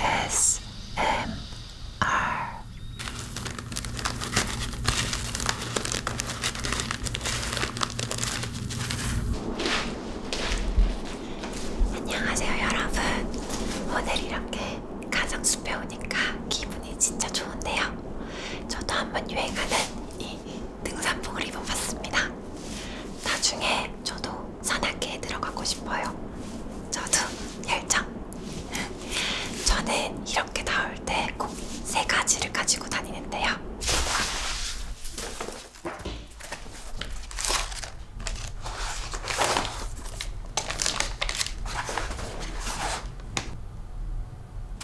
ASMR 안녕하세요 여러분 오늘 이렇게 가정숲에 오니까 기분이 진짜 좋은데요 저도 한번 유행하는 이 등산복을 입어봤습니다 나중에 저도 산악회에 들어가고 싶어요. 저도 열정. 저는 이렇게 나올 때 꼭 세 가지를 가지고 다니는데요.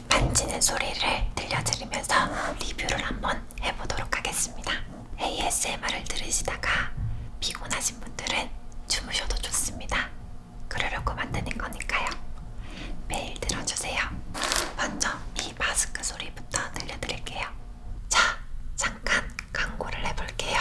만지는 소리를 들려드리면서 리뷰를 한번 한번 해보도록 하겠습니다. ASMR을 들으시다가 피곤하신 분들은 주무셔도 좋습니다. 그러려고 만드는 거니까요. 매일 들어주세요. 먼저 이 마스크 소리부터 들려드릴게요. 자, 잠깐 광고를 해볼게요.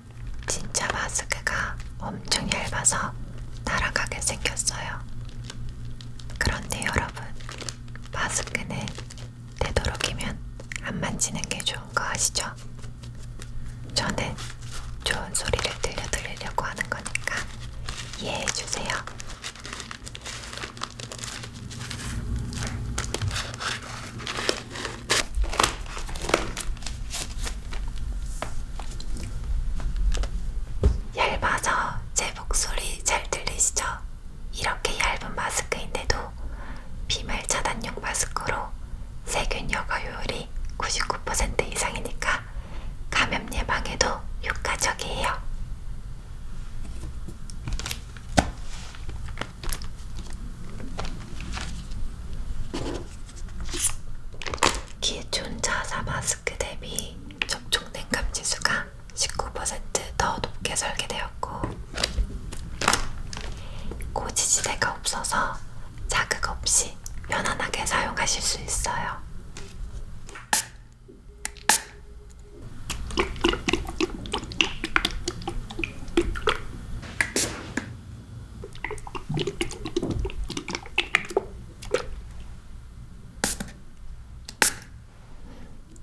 진짜 마스크가 엄청 얇아서 날아가게 생겼어요. 그런데 여러분, 마스크는 되도록이면 안 만지는 게 좋은 거 아시죠? 저는 좋은 소리를 들려드리려고 하는 거니까 이해해주세요. 얇아서 제 목소리 잘 들리시죠? 이렇게 얇은 마스크인데도 비말 차단용 마스크로 세균 여과효율이 99% 이상이니까 감염 예방에도 효과적이에요. 기존 자사 마스크 대비 접촉 냉감 지수가 19%더 높게 설계되었고 고지지대가 없어서 자극 없이 편안하게 사용하실 수 있어요.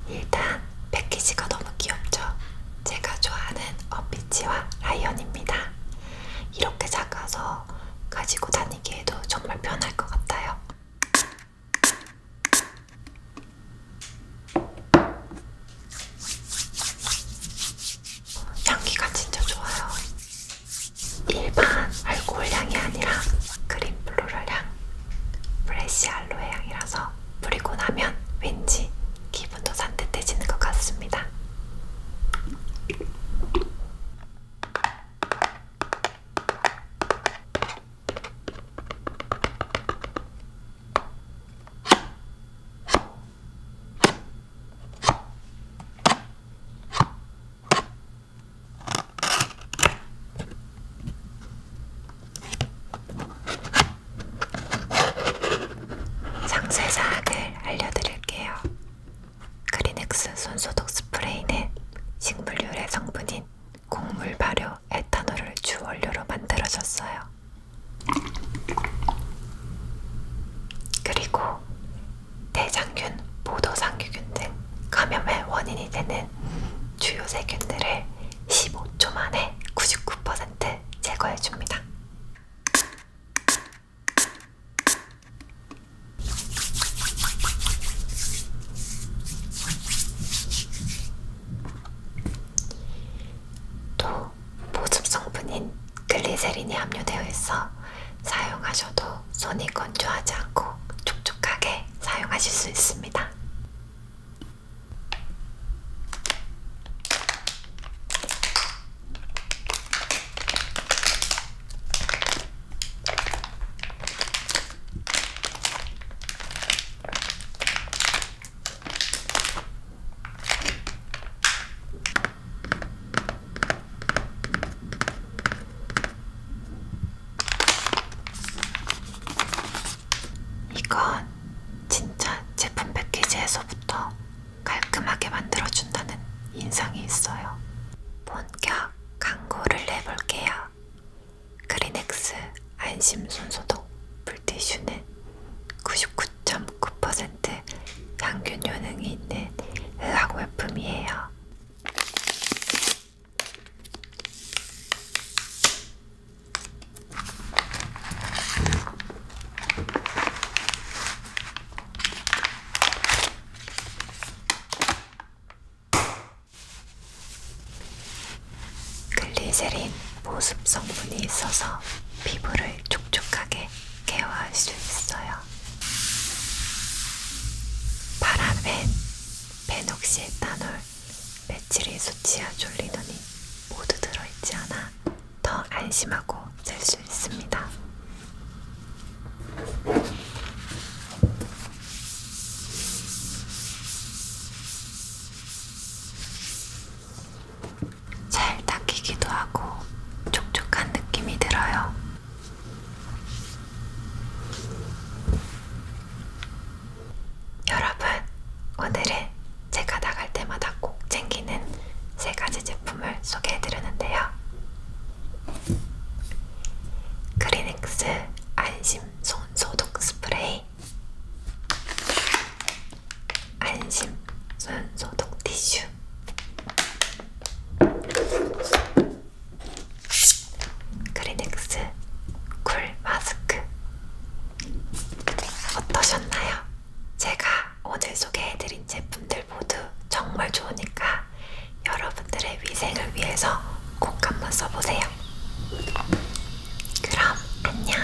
일단 패키지가 너무 귀엽죠? 제가 좋아하는 어피치와 라이언입니다. 이렇게 작아서 가지고 다니기에도 정말 편할 것 같아요. 향기가 진짜 좋아요. 일반 알코올 향이 아니라 그린 플로럴 향, 프레시 알로에 향이라서 뿌리고 나면 왠지 기분도 산뜻해지는 것 같습니다. 상세 사항을 알려드릴게요. 크리넥스 손소독 스프레이는 식물 유래 성분인 곡물 발효 에탄올을 주 원료로 만들어졌어요. 그리고 대장균, 보도상규균 등 감염의 원인이 되는 주요 세균들을 15초 만에 99% 제거해줍니다. 또 보습 성분인 글리세린이 함유되어 있어 사용하셔도 손이 건조하지 않고 촉촉하게 사용하실 수 있습니다. 이건 진짜 제품 패키지에서부터 깔끔하게 만들어준다는 인상이 있어요. 본격 광고를 내볼게요. 크리넥스 안심손소독 물티슈는 99.9% 항균 효능이 있는 의학 외품이에요. 글리세린 보습 성분이 있어서 피부를 촉촉하게 케어할 수 있어요. 파라벤, 베녹시에탄올, 메칠리소치아 졸리논이 모두 들어있지 않아 더 안심하고 잘수 있습니다. 잘 닦이기도 하고 촉촉한 느낌이 들어요. 여러분, 오늘은 제가 나갈 때마다 꼭 챙기는 세 가지 제품을 소개해드리는데요. 크리닉스 안심 손 소독 스프레이, 안심 손 소독 티슈, 크리닉스 쿨 마스크. 어떠셨나요? 제가 오늘 소개해드린 제품들 모두 정말 좋으니까 여러분들의 위생을 위해서 꼭 한번 써보세요. 그럼 안녕.